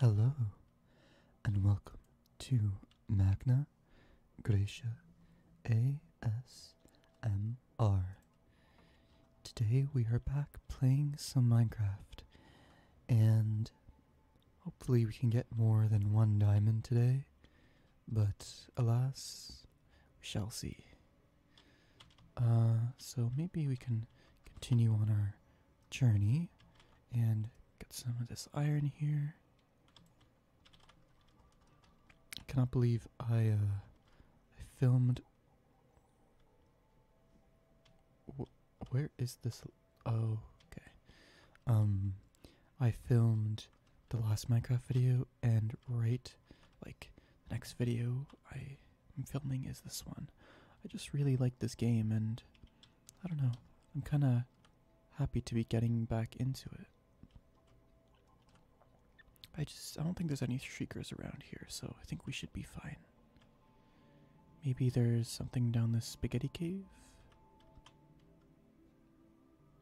Hello, and welcome to Magna Graecia ASMR. Today we are back playing some Minecraft, and hopefully we can get more than one diamond today, but alas, we shall see. Uh, so maybe we can continue on our journey and get some of this iron here. cannot believe I, uh, I filmed. where is this? Oh, okay. Um, I filmed the last Minecraft video, and right, like, the next video, I I'm filming is this one. I just really like this game, and I don't know, I'm kind of happy to be getting back into it. I just, I don't think there's any shriekers around here, so I think we should be fine. Maybe there's something down this spaghetti cave?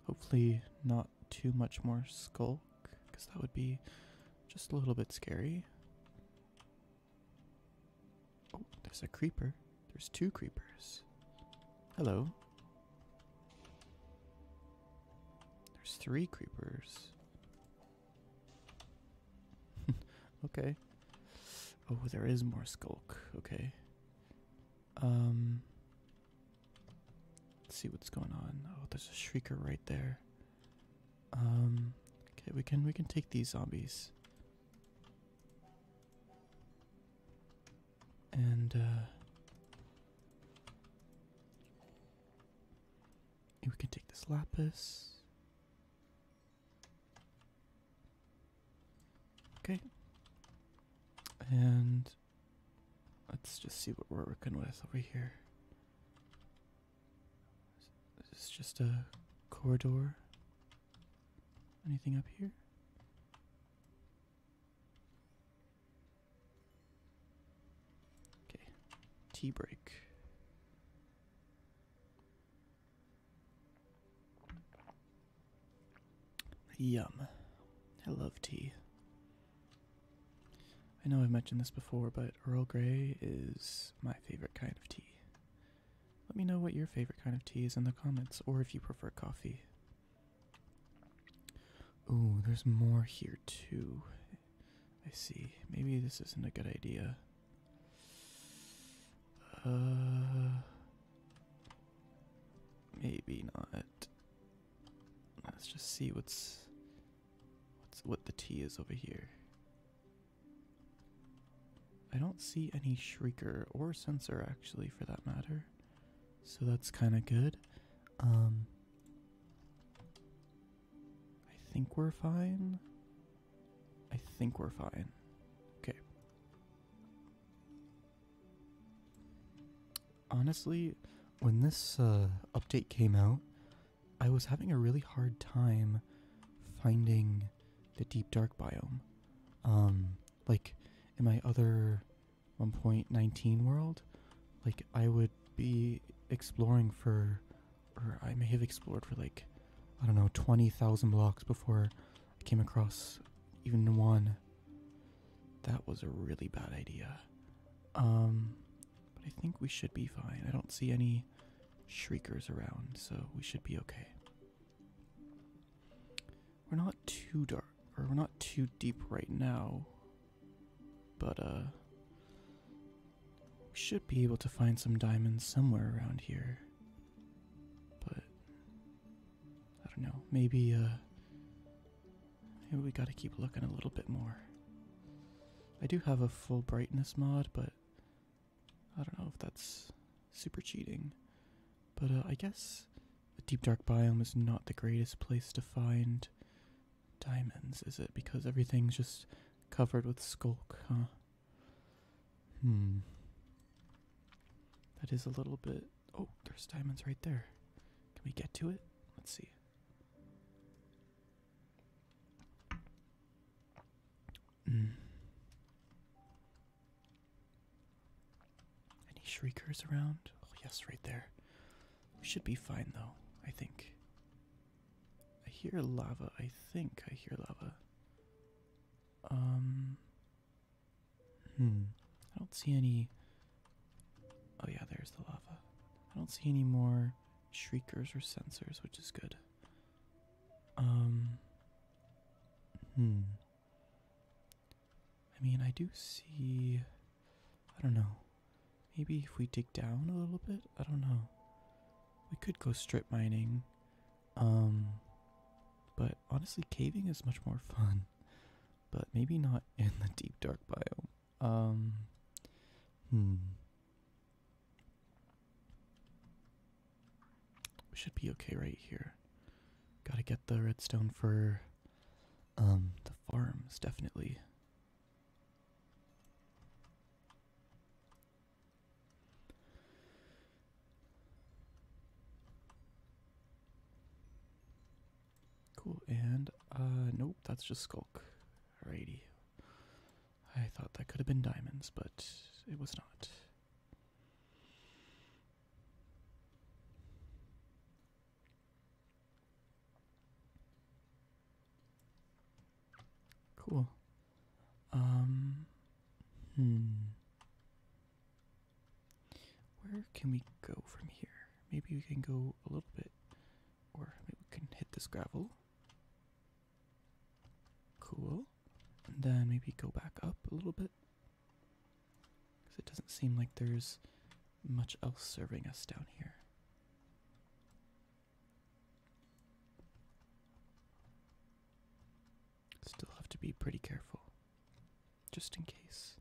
Hopefully, not too much more skulk, because that would be just a little bit scary. Oh, there's a creeper. There's two creepers. Hello. There's three creepers. okay. Oh, there is more skulk. Okay. Um. Let's see what's going on. Oh, there's a shrieker right there. Um. Okay, we can we can take these zombies. And uh we can take this lapis. Okay. And let's just see what we're working with over here. This Is just a corridor? Anything up here? Okay, tea break. Yum. I love tea. I know I've mentioned this before, but Earl Grey is my favorite kind of tea. Let me know what your favorite kind of tea is in the comments, or if you prefer coffee. Ooh, there's more here too. I see. Maybe this isn't a good idea. Uh, maybe not. Let's just see what's what's what the tea is over here. I don't see any shrieker or sensor actually for that matter. So that's kind of good. Um, I think we're fine. I think we're fine. Okay. Honestly, when this uh, update came out, I was having a really hard time finding the deep dark biome. Um, like in my other 1.19 world, like I would be exploring for, or I may have explored for like, I don't know, 20,000 blocks before I came across even one. That was a really bad idea. Um, but I think we should be fine. I don't see any shriekers around, so we should be okay. We're not too dark, or we're not too deep right now, but uh, we should be able to find some diamonds somewhere around here. But I don't know. Maybe uh, maybe we gotta keep looking a little bit more. I do have a full brightness mod, but I don't know if that's super cheating, but uh, I guess the deep dark biome is not the greatest place to find diamonds, is it? Because everything's just covered with skulk, huh? Hmm. That is a little bit. Oh, there's diamonds right there. Can we get to it? Let's see. Mm. Any shriekers around? Oh, yes, right there. should be fine, though, I think. I hear lava. I think I hear lava. Um. Hmm. I don't see any. Oh, yeah, there's the lava. I don't see any more shriekers or sensors, which is good. Um. Hmm. I mean, I do see. I don't know. Maybe if we dig down a little bit? I don't know. We could go strip mining. Um. But honestly, caving is much more fun. But maybe not in the deep dark biome. Um. Hmm. We should be okay right here. Gotta get the redstone for um the farms, definitely. Cool, and uh nope, that's just skulk. Alrighty. I thought that could have been diamonds, but it was not. Cool. Um, hmm. Where can we go from here? Maybe we can go a little bit, or maybe we can hit this gravel. Cool. And then maybe go back up a little bit. Because it doesn't seem like there's much else serving us down here. Still have to be pretty careful, just in case.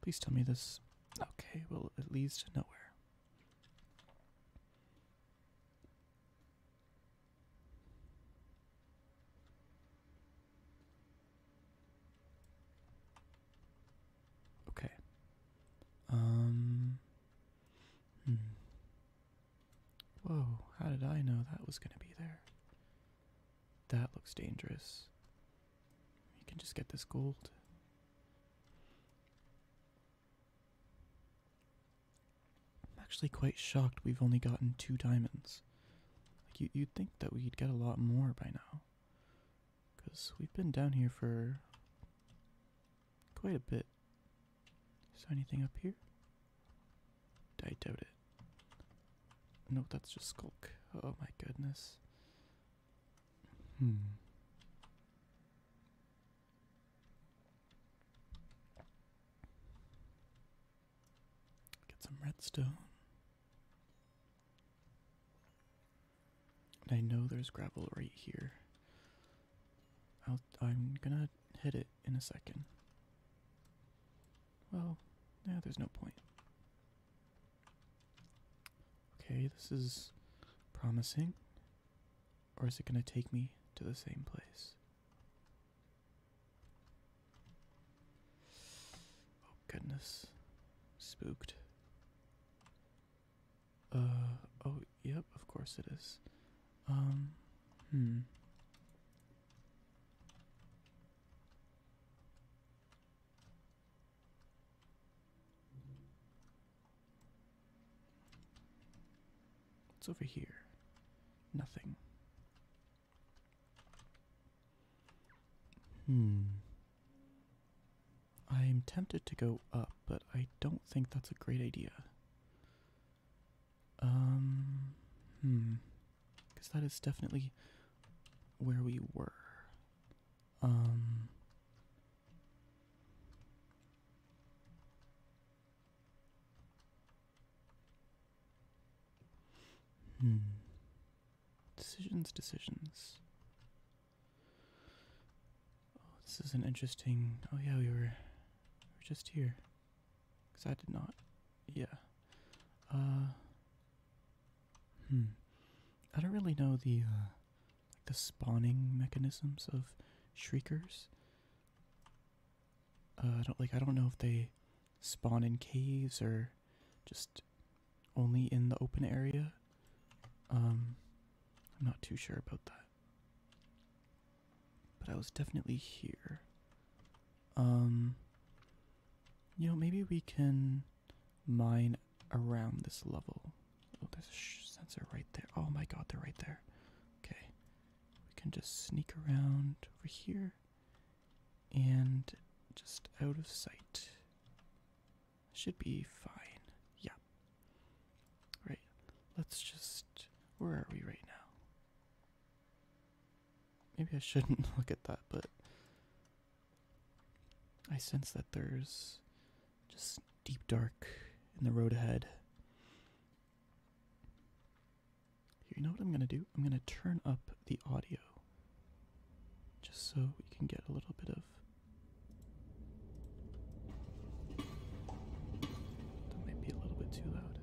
Please tell me this. Okay, well, it leads nowhere. Okay. Um. Hmm. Whoa, how did I know that was going to be there? That looks dangerous. You can just get this gold. I'm actually quite shocked we've only gotten two diamonds. Like you, you'd think that we'd get a lot more by now. Because we've been down here for quite a bit. Is there anything up here? I doubt it. No, that's just Skulk. Oh my goodness. Hmm. Get some redstone. I know there's gravel right here. I'll, I'm gonna hit it in a second. Well, yeah, there's no point. Okay, this is promising. Or is it going to take me to the same place? Oh, goodness. Spooked. Uh, oh, yep, of course it is. Um, hmm. It's over here? Nothing. Hmm. I'm tempted to go up, but I don't think that's a great idea. Um, hmm. Because that is definitely where we were. Um, Hmm. Decisions, decisions. Oh, this is an interesting. Oh yeah, we were, we were just here. Cause I did not. Yeah. Uh. Hmm. I don't really know the uh, the spawning mechanisms of shriekers. Uh, I don't like. I don't know if they spawn in caves or just only in the open area. Um, I'm not too sure about that. But I was definitely here. Um, you know, maybe we can mine around this level. Oh, there's a sensor right there. Oh my god, they're right there. Okay. We can just sneak around over here and just out of sight. Should be fine. Yeah. Right. Let's just. Where are we right now? Maybe I shouldn't look at that, but I sense that there's just deep dark in the road ahead. You know what I'm gonna do? I'm gonna turn up the audio just so we can get a little bit of. That might be a little bit too loud.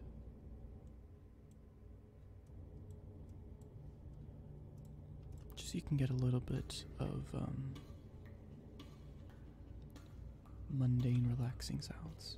Just so you can get a little bit of um, mundane, relaxing sounds.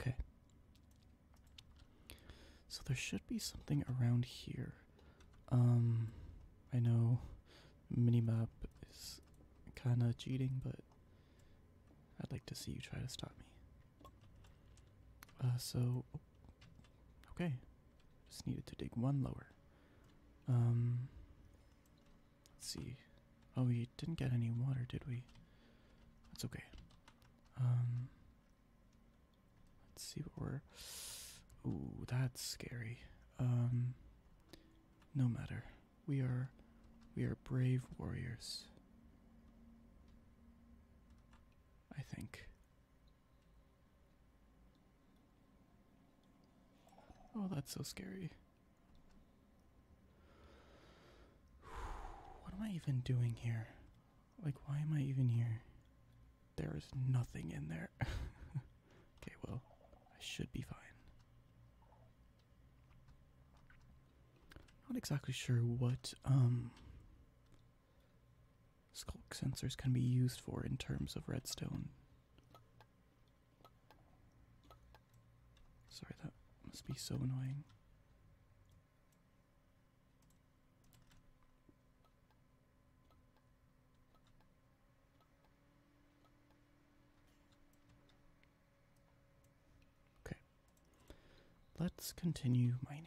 Okay. So there should be something around here. Um, I know minimap is kind of cheating, but I'd like to see you try to stop me. Uh, so, okay. Just needed to dig one lower. Um, let's see. Oh, we didn't get any water, did we? That's okay. Um, let's see what we're. Ooh, that's scary. Um, no matter. We are, we are brave warriors. I think. Oh, that's so scary. What am I even doing here? Like, why am I even here? There is nothing in there. okay, well, I should be fine. Not exactly sure what um skulk sensors can be used for in terms of redstone. Sorry, that must be so annoying. Okay. Let's continue mining.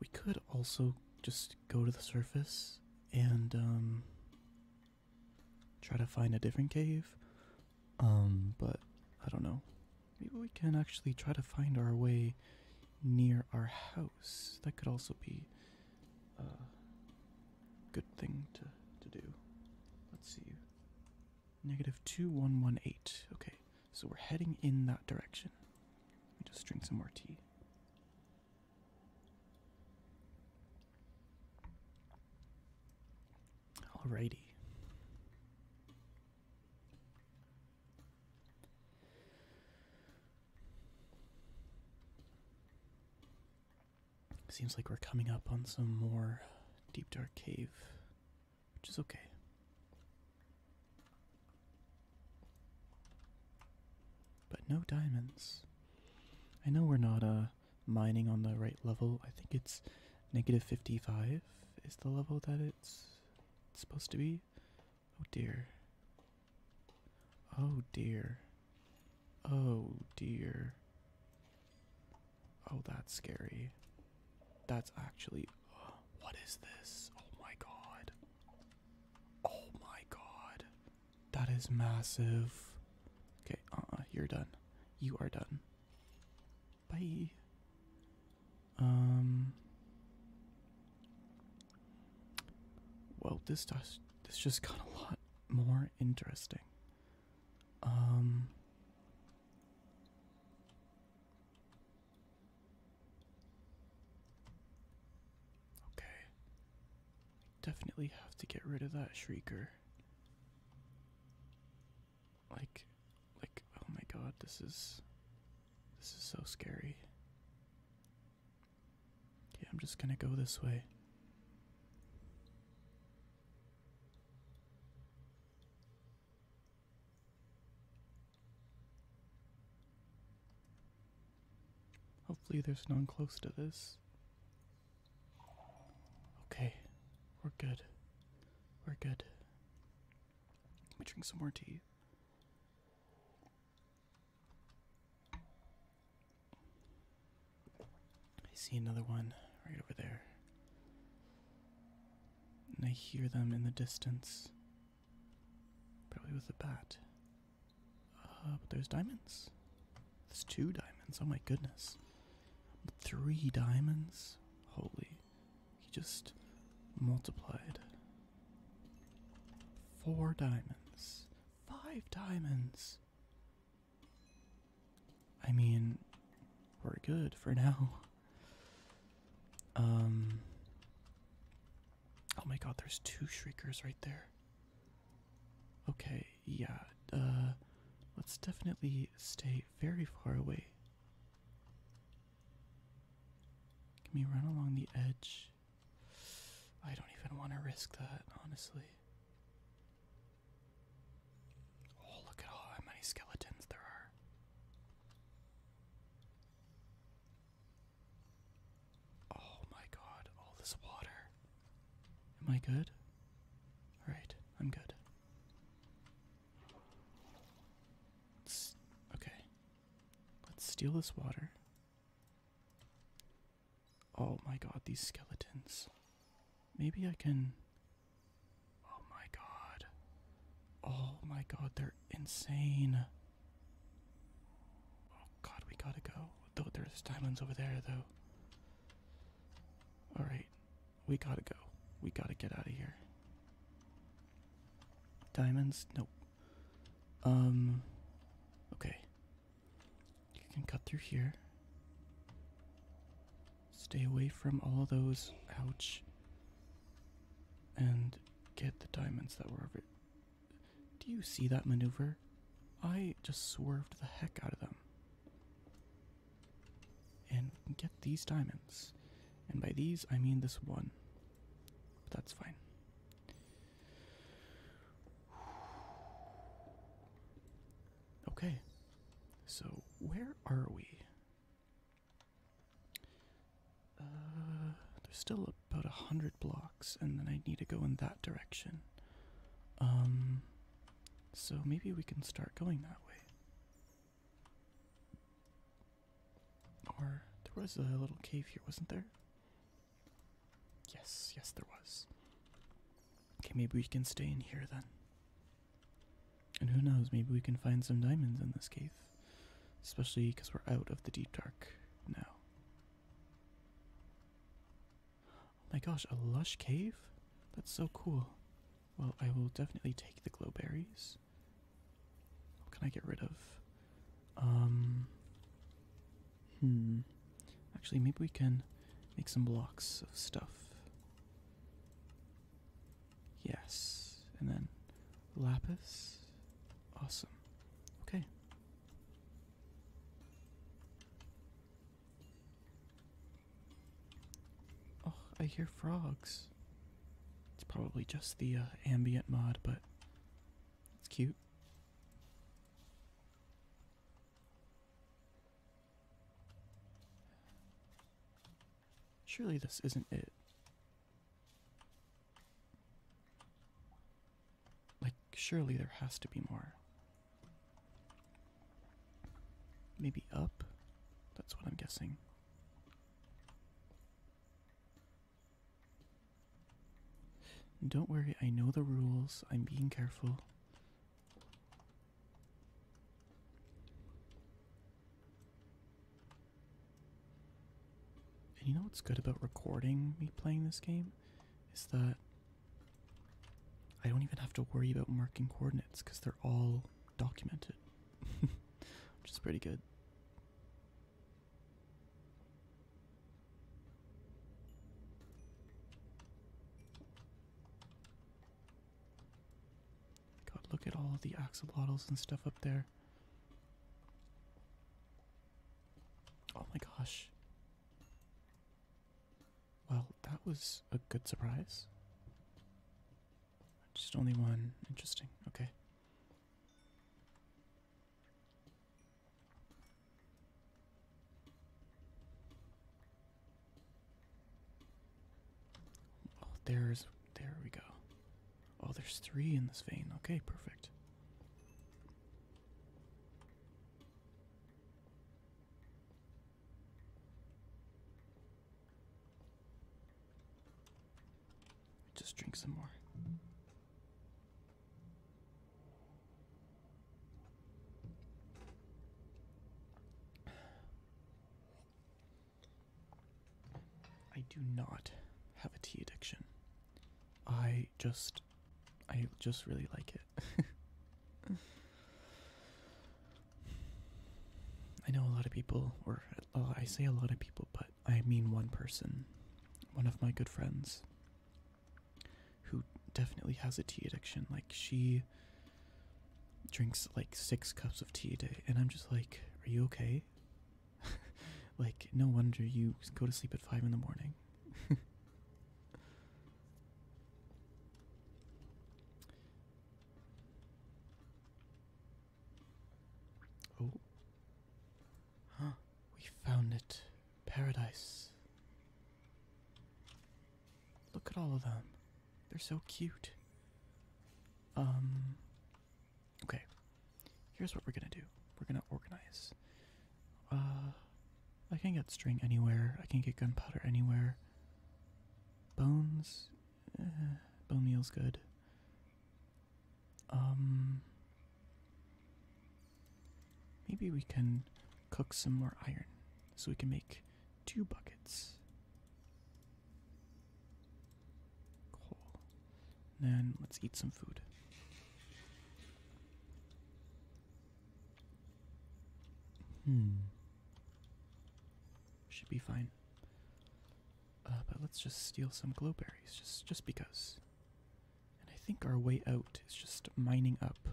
We could also just go to the surface and um, try to find a different cave. Um, but I don't know. Maybe we can actually try to find our way near our house. That could also be a good thing to, to do. Let's see. Negative 2118. Okay, so we're heading in that direction. Let me just drink some more tea. Alrighty. Seems like we're coming up on some more deep dark cave, which is okay. But no diamonds. I know we're not uh mining on the right level. I think it's negative 55 is the level that it's supposed to be. Oh dear. Oh dear. Oh dear. Oh, that's scary. That's actually. What is this? Oh my god. Oh my god. That is massive. Okay, uh uh, you're done. You are done. Bye. Um. Well, this does this just got a lot more interesting. Um. Okay. Definitely have to get rid of that shrieker. Like, like, oh my god, this is, this is so scary. Okay, I'm just gonna go this way. Hopefully, there's none close to this. Okay, we're good. We're good. Let me drink some more tea. I see another one right over there. And I hear them in the distance. Probably with a bat. Uh, but those diamonds. There's two diamonds. Oh my goodness. Three diamonds? Holy. He just multiplied. Four diamonds. Five diamonds. I mean, we're good for now. Um. Oh my god, there's two shriekers right there. Okay, yeah, uh, let's definitely stay very far away. Can we run along the edge? I don't even want to risk that, honestly. Oh, look at all how many skeletons there are. Oh my god, all this water. Am I good? Alright, I'm good okay. Let's steal this water. Oh my god, these skeletons. Maybe I can. Oh my god. Oh my god, they're insane. Oh god, we gotta go. Though there's diamonds over there, though. Alright, we gotta go. We gotta get out of here. Diamonds? Nope. Um. Okay. You can cut through here. Stay away from all those. Ouch. And get the diamonds that were over. Do you see that maneuver? I just swerved the heck out of them. And get these diamonds. And by these, I mean this one. that's fine. Okay. So, where are we? Uh, there's still about a hundred blocks, and then I need to go in that direction. Um, so maybe we can start going that way. Or there was a little cave here, wasn't there? Yes, yes, there was. Okay, maybe we can stay in here then. And who knows, maybe we can find some diamonds in this cave. Especially because we're out of the deep dark now. Oh my gosh, a lush cave? That's so cool. Well, I will definitely take the glow berries. What can I get rid of? Um. Hmm. Actually, maybe we can make some blocks of stuff. Yes. And then lapis. Awesome. Okay. Oh, I hear frogs. It's probably just the uh, ambient mod, but it's cute. Surely this isn't it. Like, surely there has to be more. Maybe up? That's what I'm guessing. Don't worry, I know the rules. I'm being careful. And you know what's good about recording me playing this game? Is that I don't even have to worry about marking coordinates because they're all documented, which is pretty good. God, look at all the axolotls and stuff up there. Oh my gosh. Well, that was a good surprise. Just only one. Interesting. Okay. Oh, there's. There we go. Oh, there's three in this vein. Okay, perfect. Just drink some more. I do not have a tea addiction. I just I just really like it. I know a lot of people, or I say a lot of people, but I mean one person, one of my good friends, who definitely has a tea addiction. Like, she drinks like six cups of tea a day, and I'm just like, are you okay? like, no wonder you go to sleep at five in the morning. Oh. Huh. We found it. Paradise. Look at all of them. They're so cute. Um. Okay. Here's what we're gonna do we're gonna organize. Uh. I can get string anywhere, I can get gunpowder anywhere. Bones, bone meal's good. Um, maybe we can cook some more iron so we can make two buckets. Cool. then let's eat some food. Hmm. Should be fine. Uh, but let's just steal some glowberries, just just because. And I think our way out is just mining up,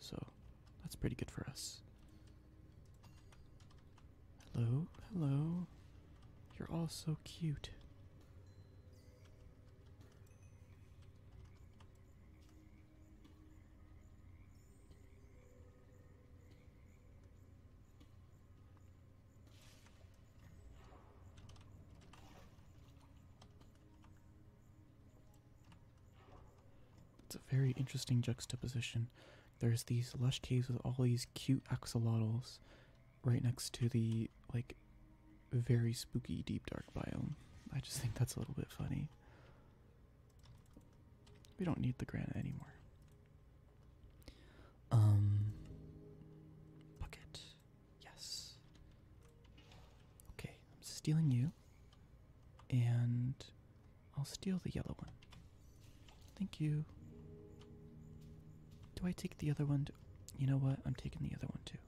so that's pretty good for us. Hello, hello. You're all so cute. It's a very interesting juxtaposition. There's these lush caves with all these cute axolotls right next to the like very spooky deep dark biome. I just think that's a little bit funny. We don't need the granite anymore. Um bucket. Yes. Okay, I'm stealing you. And I'll steal the yellow one. Thank you. Do I take the other one? You know what? I'm taking the other one too.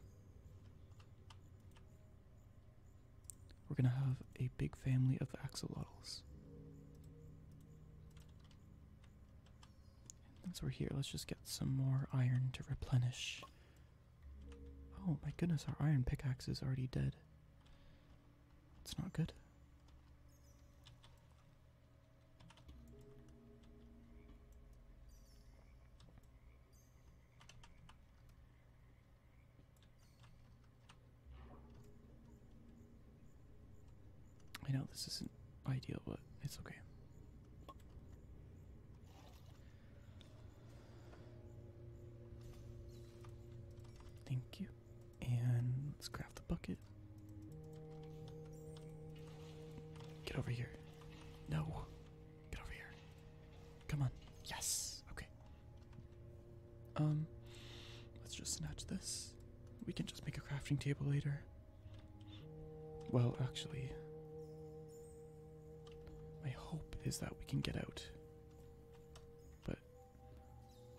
We're gonna have a big family of axolotls. since we're here, let's just get some more iron to replenish. Oh my goodness, our iron pickaxe is already dead. It's not good. I know this isn't ideal, but it's okay. Thank you. And let's grab the bucket. Get over here. No. Get over here. Come on. Yes. Okay. Um, let's just snatch this. We can just make a crafting table later. Well, actually, my hope is that we can get out. But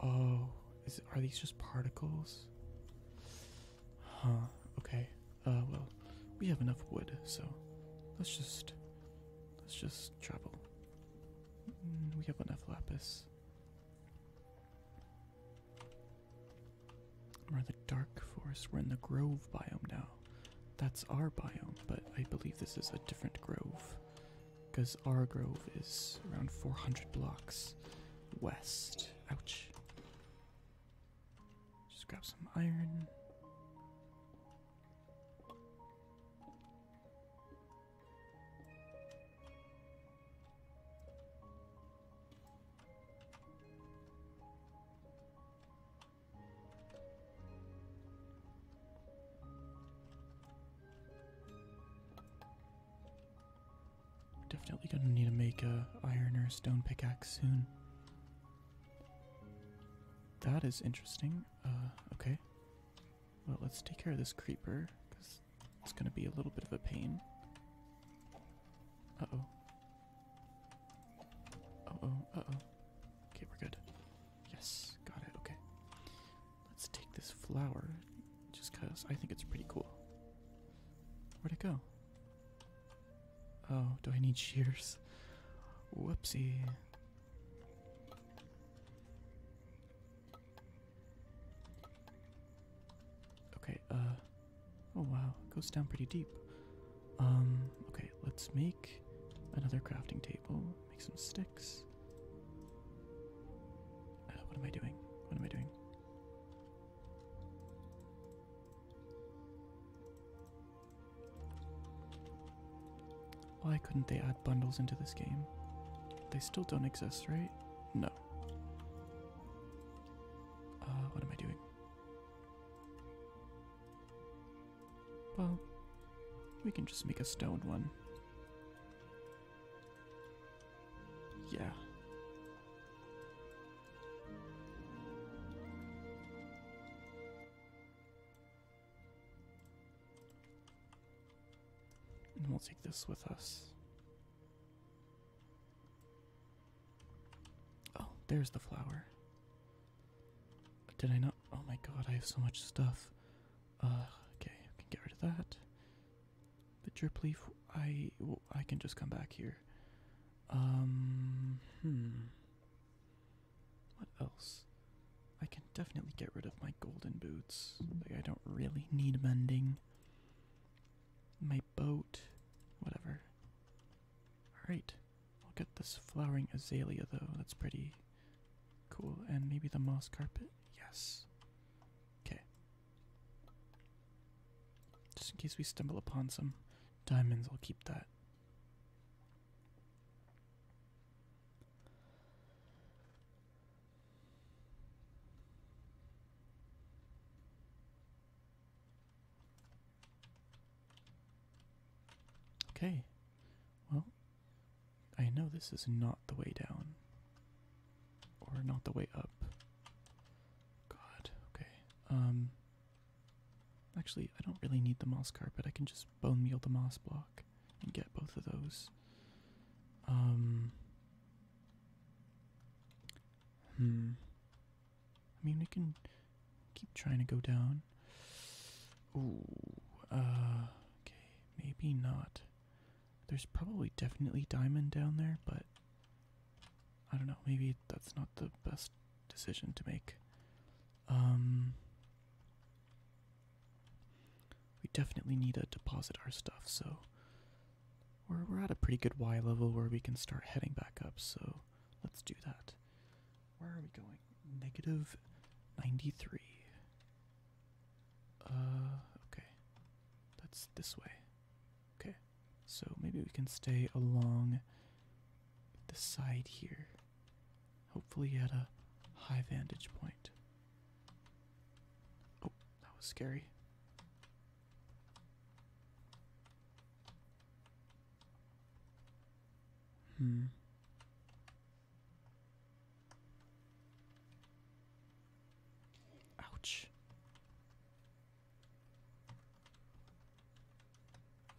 oh, are these just particles? Huh. Okay. Uh, well, we have enough wood, so let's just let's just travel. Mm, we have enough lapis. We're in the dark forest. We're in the grove biome now. That's our biome, but I believe this is a different grove. Because our grove is around 400 blocks west. Ouch. Just grab some iron. Definitely gonna need to make a iron or a stone pickaxe soon. That is interesting. Uh, okay. Well, let's take care of this creeper because it's gonna be a little bit of a pain. Uh oh. Uh oh, uh oh. Okay, we're good. Yes, got it, okay. Let's take this flower just because I think it's pretty cool. Where'd it go? Oh, do I need shears? Whoopsie. Okay, uh, oh wow, goes down pretty deep. Um, okay, let's make another crafting table, make some sticks. Uh, what am I doing? What am I doing? Why couldn't they add bundles into this game? They still don't exist, right? No. Uh, what am I doing? Well, we can just make a stone one. Yeah. And we'll take this with us. Oh, there's the flower. Did I not? Oh my god, I have so much stuff. Uh, okay, I can get rid of that. The drip leaf, I, well, I can just come back here. Um, hmm. What else? I can definitely get rid of my golden boots. I don't really need mending. My boat, whatever. Alright, I'll get this flowering azalea though, that's pretty cool. And maybe the moss carpet? Yes. Okay. Just in case we stumble upon some diamonds, I'll keep that. Okay, well, I know this is not the way down, or not the way up. God, okay. Um, actually, I don't really need the moss carpet, I can just bone meal the moss block and get both of those. Um. Hmm. I mean, we can keep trying to go down. Ooh. Uh. Okay. Maybe not. There's probably definitely diamond down there, but I don't know. Maybe that's not the best decision to make. Um. We definitely need to deposit our stuff, so we're, we're at a pretty good Y level where we can start heading back up, so let's do that. Where are we going? Negative 93. Uh, okay. That's this way. Okay. So maybe we can stay along the side here. Hopefully at a high vantage point. Oh, that was scary. Hmm. Ouch.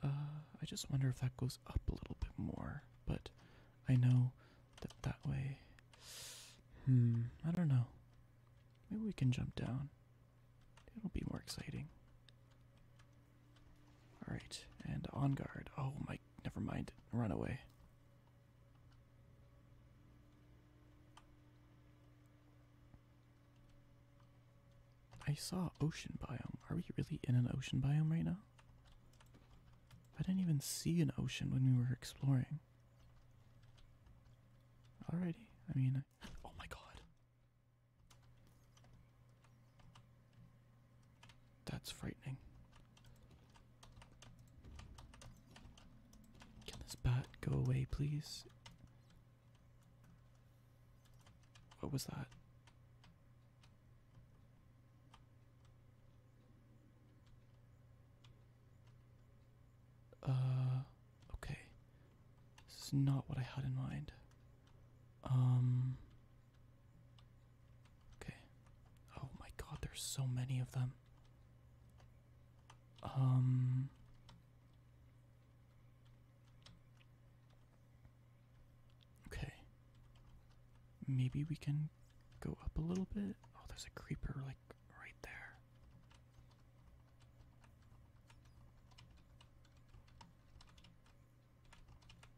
Uh, I just wonder if that goes up a little bit more, but I know that way. Hmm. I don't know. Maybe we can jump down. It'll be more exciting. All right, and on guard. Oh my! Never mind. Run away. I saw ocean biome. Are we really in an ocean biome right now? I didn't even see an ocean when we were exploring. Alrighty. I mean, oh my god. That's frightening. Can this bat go away, please? What was that? Uh, okay. This is not what I had in mind. Um. Okay. Oh my god, there's so many of them. Um. Okay. Maybe we can go up a little bit. Oh, there's a creeper like right there.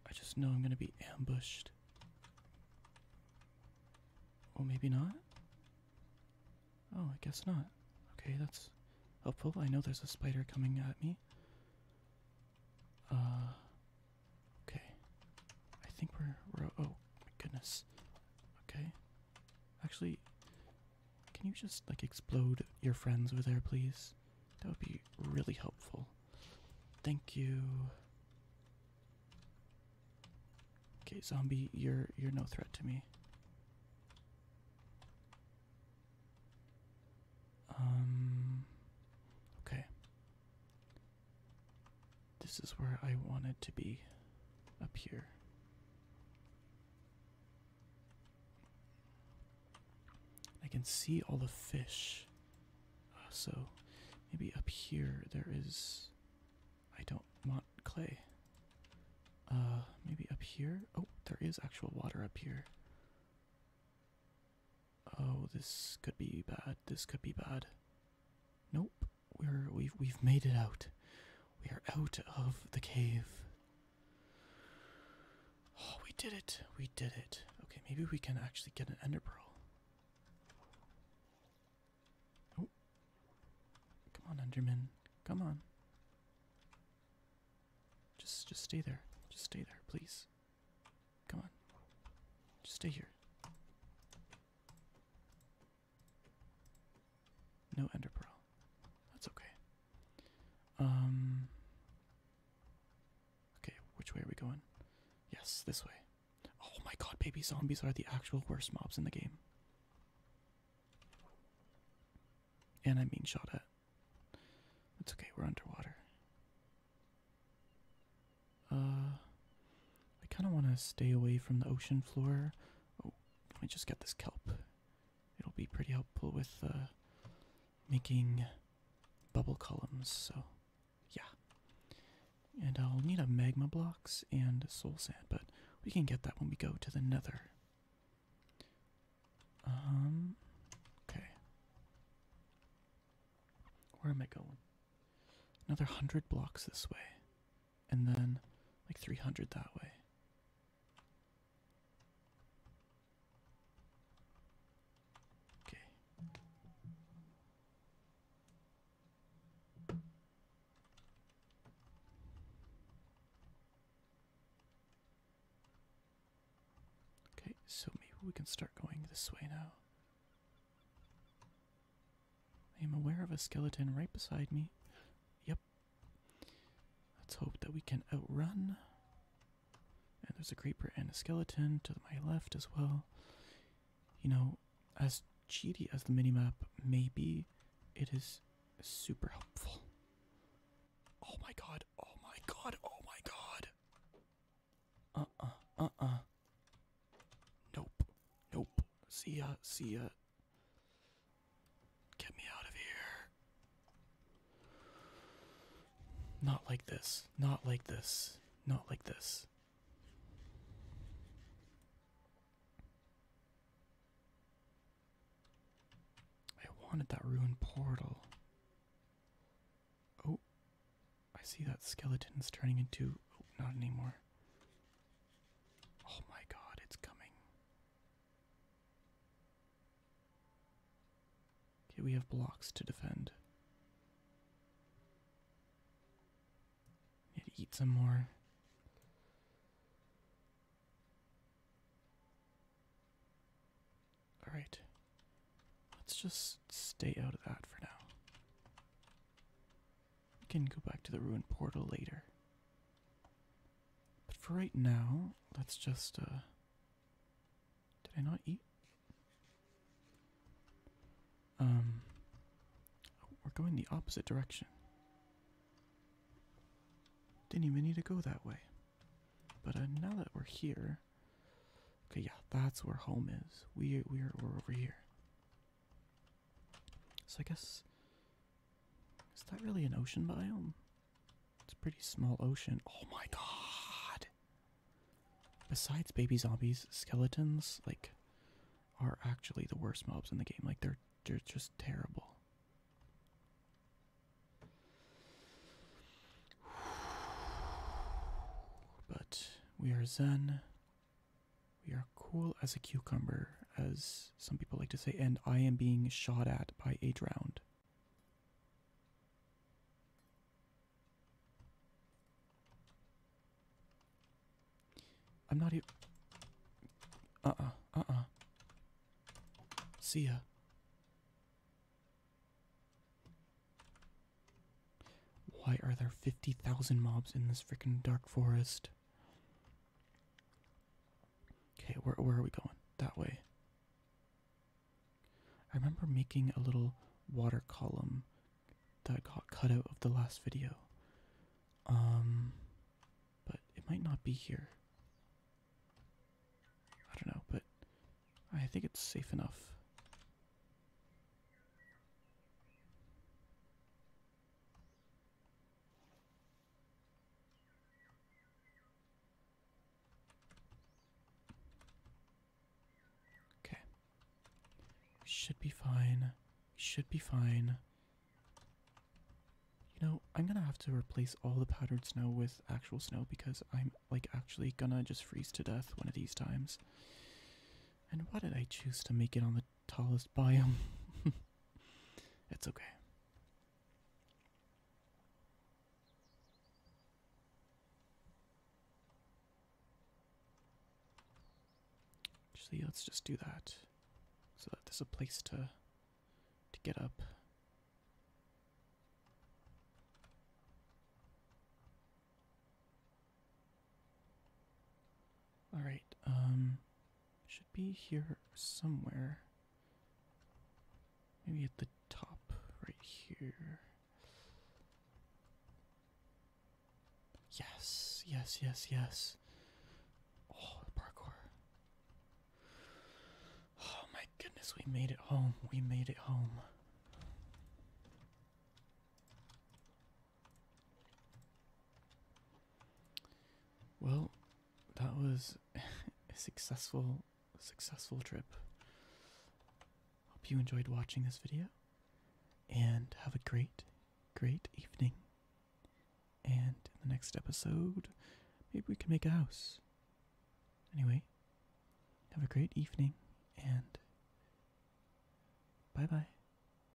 I just know I'm gonna be ambushed. Oh, maybe not? Oh, I guess not. Okay, that's helpful. I know there's a spider coming at me. Uh, Okay. I think we're oh my goodness. Okay. Actually, can you just like explode your friends over there, please? That would be really helpful. Thank you. Okay, zombie, you're you're no threat to me. Um Okay. This is where I wanted to be up here. I can see all the fish. Uh, so maybe up here there is. I don't want clay. Uh, maybe up here? Oh, there is actual water up here. Oh, this could be bad. This could be bad. Nope we're we've we've made it out. We are out of the cave. Oh, we did it. We did it. Okay, maybe we can actually get an ender pearl. Oh. Come on, Enderman. Come on. Just just stay there. Just stay there, please. Come on. Just stay here. No enderpearl. That's okay. Um. Okay, which way are we going? Yes, this way. Oh my god, baby zombies are the actual worst mobs in the game. And i mean being shot at. It's okay, we're underwater. Uh, I kind of want to stay away from the ocean floor. Oh, let just got this kelp. It'll be pretty helpful with uh, making bubble columns, so yeah. And I'll need a magma blocks and soul sand, but we can get that when we go to the nether. Um, okay. Where am I going? Another hundred blocks this way and then like 300 that way. Okay. Okay, so maybe we can start going this way now. I am aware of a skeleton right beside me. Yep. Let's hope that we can outrun. And there's a creeper and a skeleton to my left as well. You know, as cheaty as the mini-map may be, it is super helpful. Oh my god, oh my god, oh my god. Uh-uh, uh-uh. Nope. Nope. See ya. See ya. Get me out of here. Not like this. Not like this. Not like this. I wanted that ruined portal. Oh, I see that skeleton is turning into. Oh, not anymore. Oh my god, it's coming. Okay, we have blocks to defend. Need to eat some more. Alright. Let's just stay out of that for now. We can go back to the ruined portal later. But for right now, let's just, uh. Did I not eat? Um. we're going the opposite direction. Didn't even need to go that way. But uh, now that we're here. Okay, yeah, that's where home is. We, we're, we're over here. So I guess is that really an ocean biome. It's a pretty small ocean. Oh my god! Besides baby zombies, skeletons like are actually the worst mobs in the game. Like they're they're just terrible. But we are zen. We are cool as a cucumber, as some people like to say, and I am being shot at by a drowned. I'm not even. Uh-uh, uh-uh. See ya. Why are there 50,000 mobs in this freaking dark forest? Okay, where where are we going? That way. I remember making a little water column that got cut out of the last video. Um but it might not be here. I don't know, but I think it's safe enough. Okay. should be fine. should be fine. You know, I'm gonna have to replace all the powdered snow with actual snow because I'm like actually gonna just freeze to death one of these times. And why did I choose to make it on the tallest biome. it's okay. Actually, let's just do that, so that there's a place to to get up. All right, um, should be here somewhere. Maybe at the top, right here. Yes, yes, yes, yes. Oh, parkour. Oh my goodness, we made it home. We made it home. Well, that was a successful, successful trip. Hope you enjoyed watching this video, and have a great, great evening. And in the next episode, maybe we can make a house. Anyway, have a great evening, and bye bye.